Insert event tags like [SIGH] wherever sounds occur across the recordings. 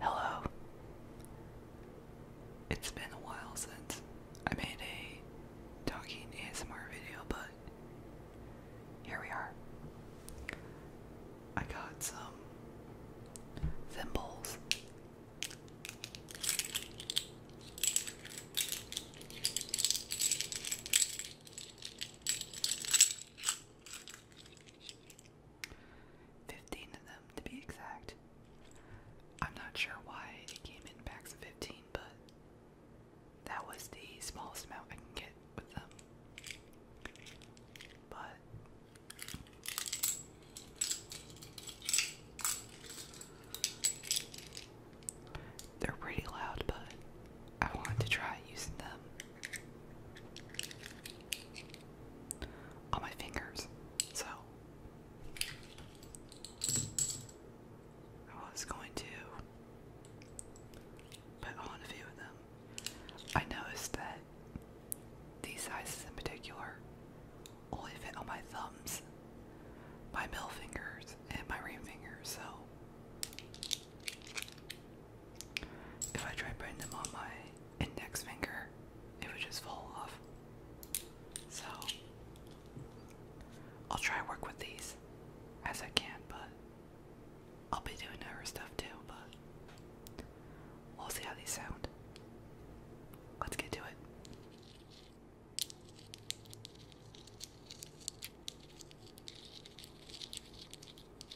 Hello. It's been a while since I made a talking ASMR video, but here we are. I got some thimbles. 15 of them to be exact. I'm not sure why it came in packs of 15, but that was the smallest amount I can get with them. But they're pretty loud, but I want to try using them on my fingers. So I was going to put on a few of them. I noticed that these sizes in particular only fit on my thumbs, my middle fingers, and my ring fingers. so if I try putting them on my index finger, it would just fall off. So, I'll try work with these as I can, but I'll be doing other stuff too, but we'll see how these sound. Let's get to it.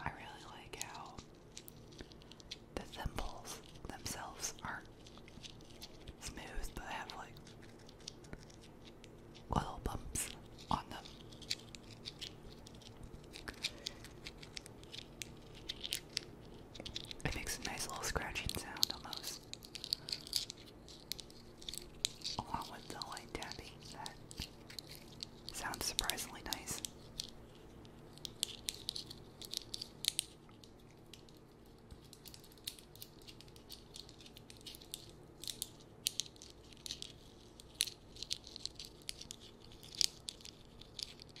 I really like how the thimbles themselves are smooth but have like little bumps on them. It makes a nice little scratching sound almost. Along with the light tapping, that sounds surprisingly nice.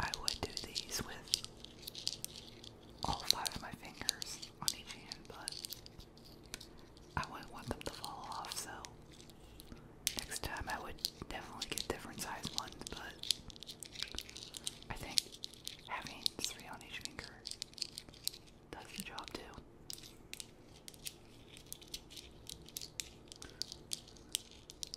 I would do these with all five of my fingers on each hand, but I wouldn't want them to fall off, so next time I would definitely get different size ones, but I think having three on each finger does the job too.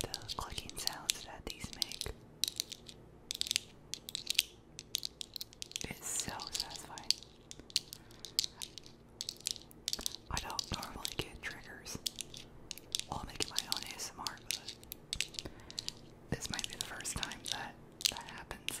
The clicking sounds that these make is so satisfying. I don't normally get triggers while making my own ASMR, but this might be the first time that that happens.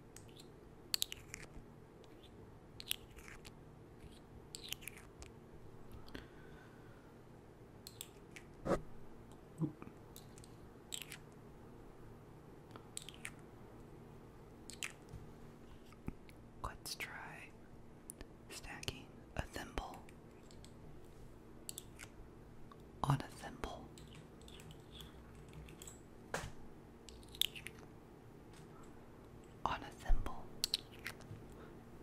Let's try stacking a thimble on a thimble on a thimble.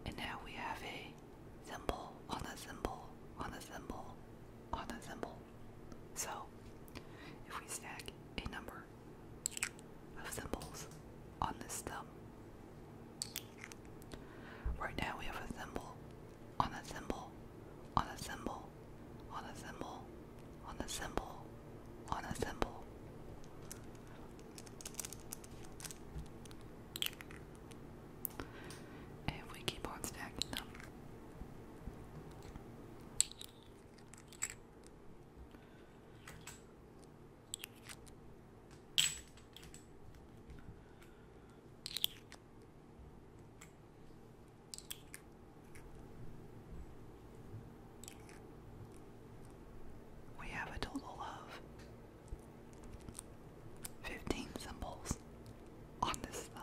And now we have a thimble on a thimble on a thimble on a thimble. So if we stack a number of symbols on this thumb, right now we have a thimble on a thimble on a symbol, on a symbol, on a symbol, on a symbol. If we keep on stacking them. We have a total of 15 symbols on this thumb.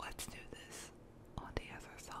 Let's do this on the other thumb.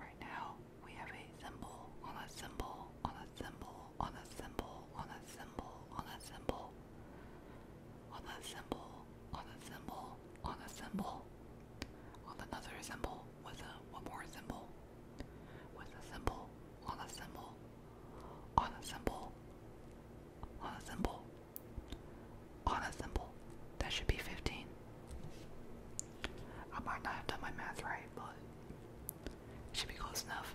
Right now, we have a symbol on a symbol on a symbol on a symbol on a symbol on a symbol on a symbol on a symbol on a symbol on another symbol with a one more symbol with a symbol on a symbol on a symbol, on a symbol, on a symbol. That should be 15. I might not have done my math right, but should be close enough.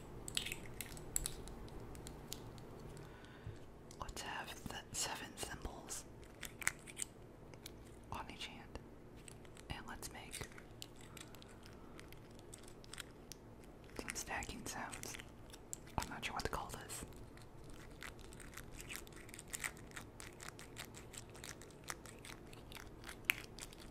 Let's have seven symbols on each hand. And let's make stacking sounds. I'm not sure what to call this.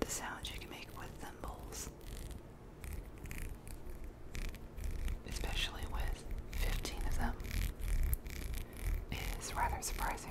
the sounds you can make with thimbles, especially with 15 of them, is rather surprising.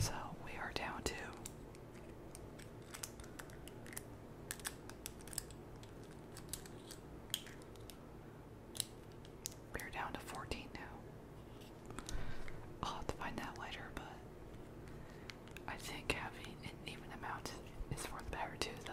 So we are down to we're down to 14 now. I'll have to find that later, but I think having an even amount is worth better too, though.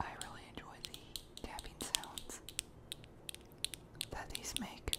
I really enjoy the tapping sounds that these make.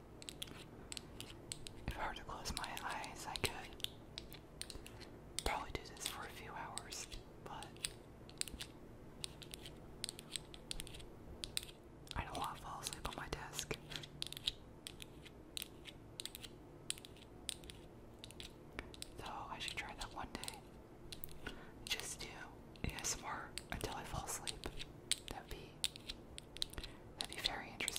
If I were to close my eyes, I could probably do this for a few hours, but I don't want to fall asleep on my desk. So I should try that one day. Just do ASMR until I fall asleep. That'd be That'd be very interesting.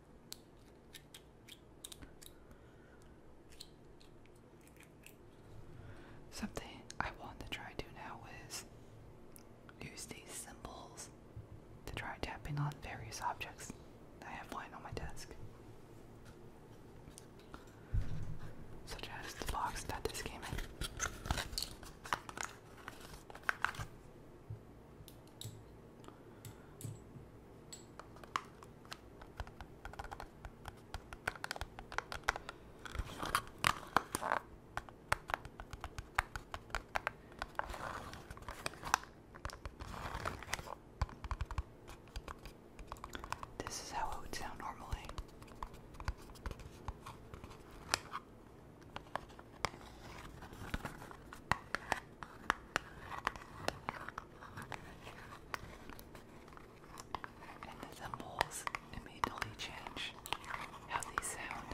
Something I want to try to now is use these symbols to try tapping on various objects. I have one on my desk. Such as the box that this came in. This is how it would sound normally. And the thimbles immediately change how they sound.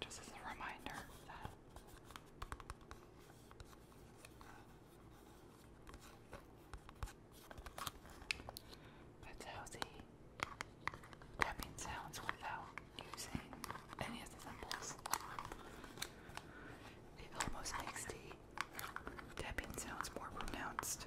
Just as a reminder that's healthy. Tapping sounds without using any of symbols. It almost makes the tapping sounds more pronounced.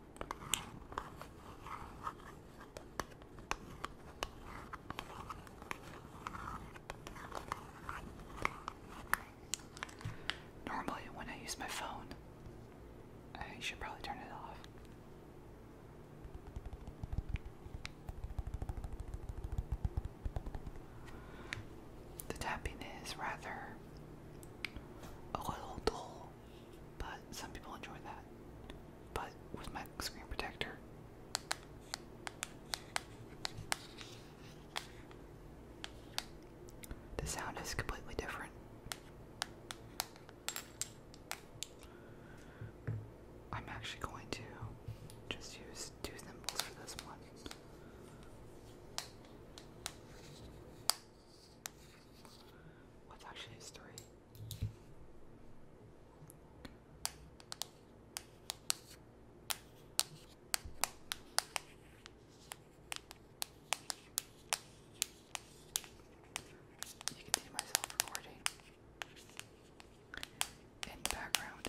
Normally, when I use my phone, I should probably turn it off. The tapping is rather a little dull cool, but some people enjoy that. But with my screen protector, the sound is completely different. I'm actually going to just use two thimbles for this one. let actually use three. You can see myself recording in the background.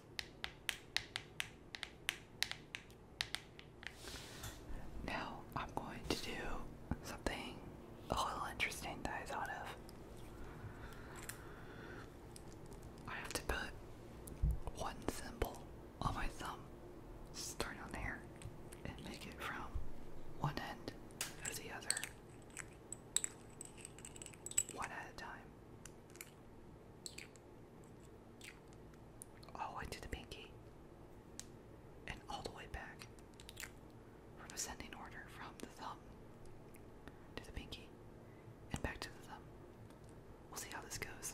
Now I'm going to do something a little interesting that I thought of. I have to put one symbol on my thumb, start on there, and make it from one end to the other, one at a time. Oh, I did the pinky. And all the way back. From ascending order from the thumb to the pinky. And back to the thumb. We'll see how this goes.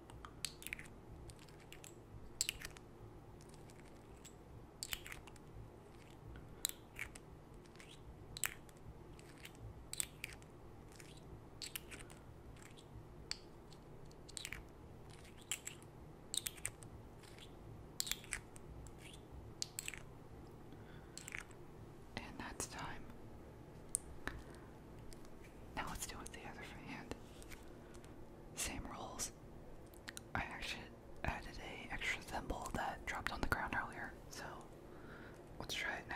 And that's time. Now let's do it with the other hand. Same rules. I actually added a extra thimble that dropped on the ground earlier, so let's try it now.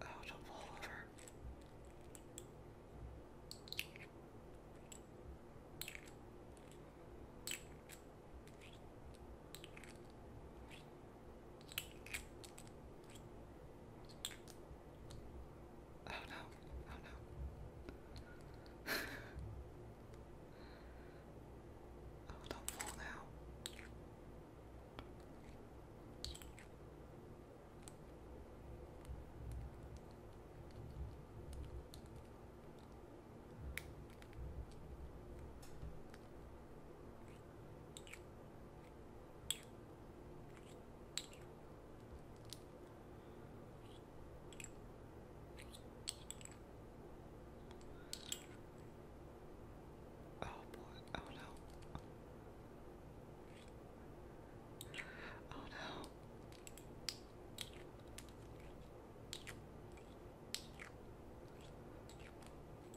Oh, don't fall over. Oh no, oh no. oh, don't fall now. Oh boy, oh no. Oh no.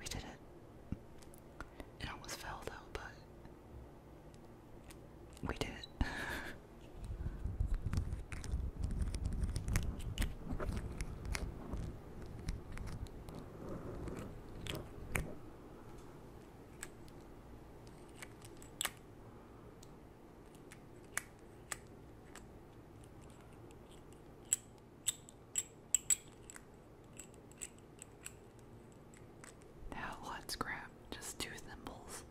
We did it. It almost fell though, but we did it. [LAUGHS] Now let's grab just two thimbles.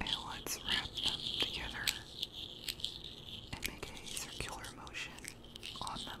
And let's wrap them together and make a circular motion on them.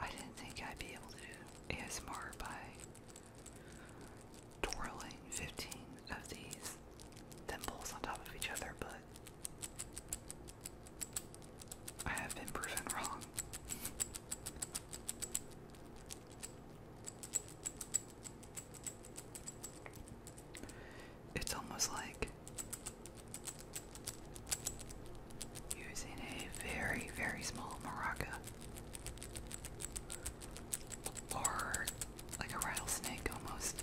I didn't think I'd be able to do ASMR by twirling 15 of these thimbles on top of each other, but I have been proven wrong. It's almost like using a very, very small maraca or like a rattlesnake almost.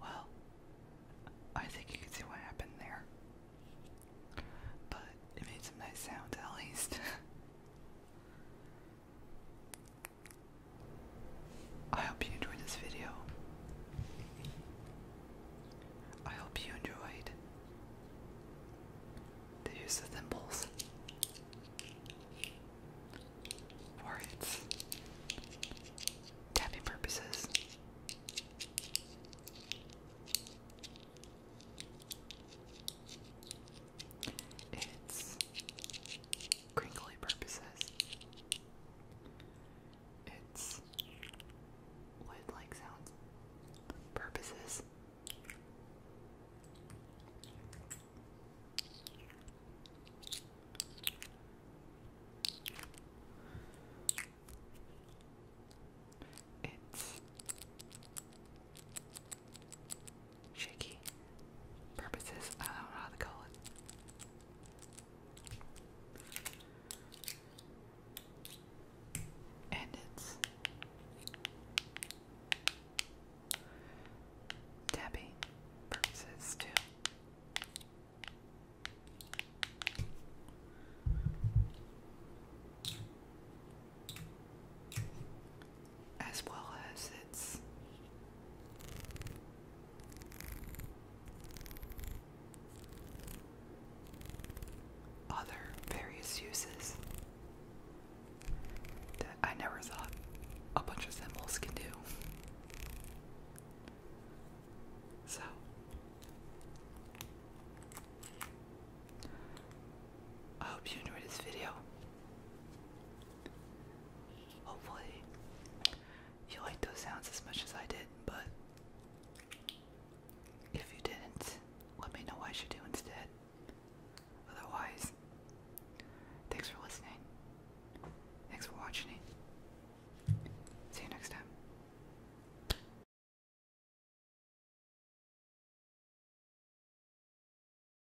Well, I think you can see what happened there. But it made some nice sound at least. [LAUGHS] I hope you enjoyed this video. I hope you enjoyed the use of thimbles, for its tapping purposes its crinkly purposes. Its lid like sounds purposes. It's shaky purposes. I don't know how to call it. And it's tapping purposes too as well as its other various uses that I never thought a bunch of symbols can do. So, I hope you enjoyed this video hopefully oh, you like those sounds as much as I did, but if you didn't, let me know what I should do instead. Otherwise, thanks for listening. Thanks for watching. See you next time.